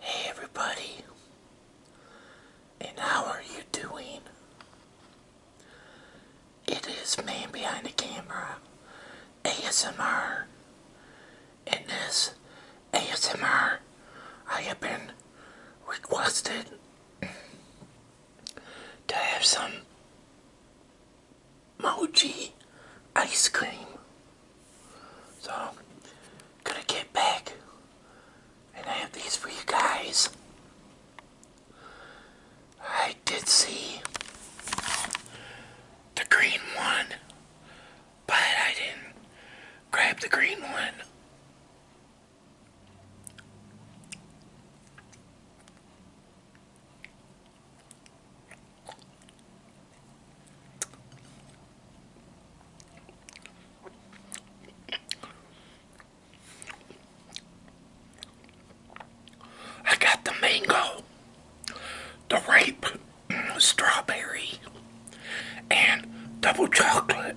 Hey everybody, and how are you doing? It is Man Behind the Camera ASMR, and this ASMR I have been requested to have some mochi ice cream. So, gonna get back and have these for you guys. I did see the green one, but I didn't grab the green one. I got the mango, the ripe strawberry, and double chocolate.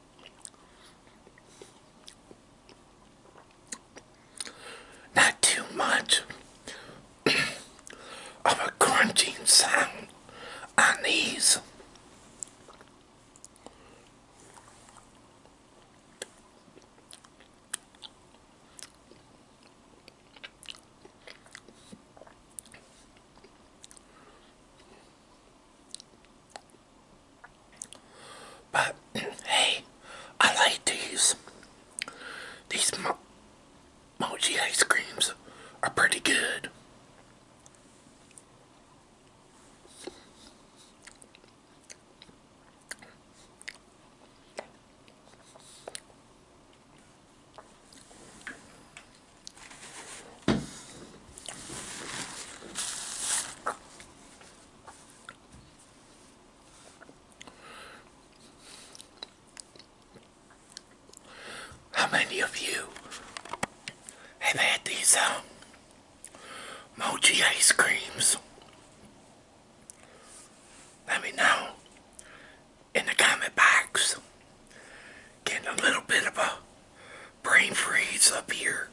Not too much of a crunching sound on these. But hey, I like these. These mochi ice creams are pretty good. How many of you have had these um, mochi ice creams? Let me know in the comment box. Getting a little bit of a brain freeze up here.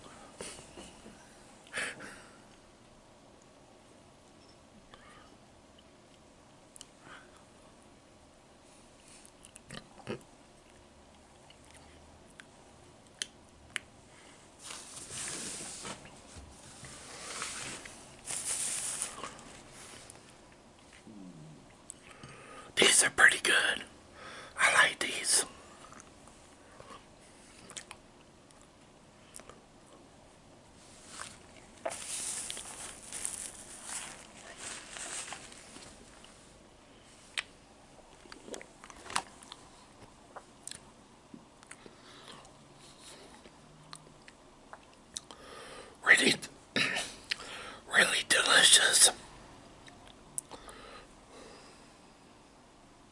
These are pretty good. I like these. Really, really delicious.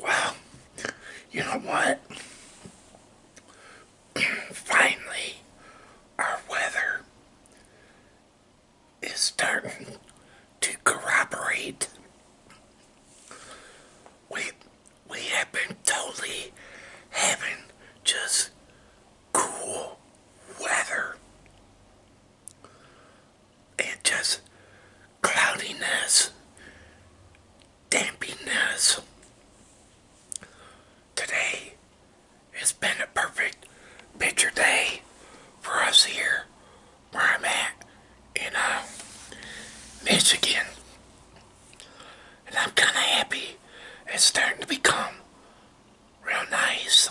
Wow, you know what? Finally, our weather is starting to corroborate. We, we have been totally having just cool weather and just cloudiness, dampiness. Today it has been a perfect picture day for us here where I'm at in uh, Michigan. And I'm kind of happy it's starting to become real nice.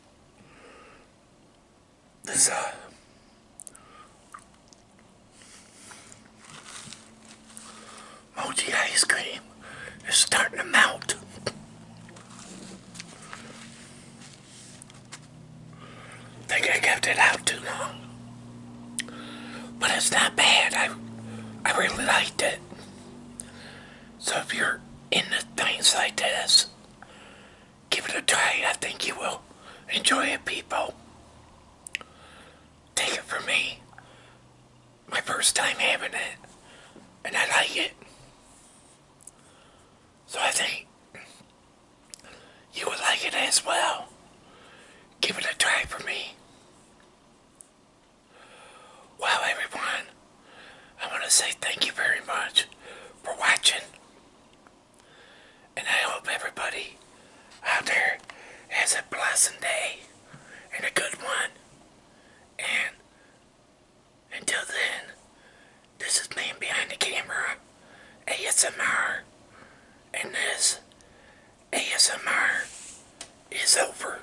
This, uh, mochi ice cream is starting to melt. Think I kept it out too long. But it's not bad. I I really liked it. So if you're into things like this, give it a try. I think you will enjoy it, people. Take it from me. My first time having it, and I like it. So I think you would like it as well. Give it a try for me. Well, everyone, I want to say thank you very much for watching. And I hope everybody out there has a blessed day and a good one. And until then, this is Man Behind the Camera, ASMR, and this ASMR is over.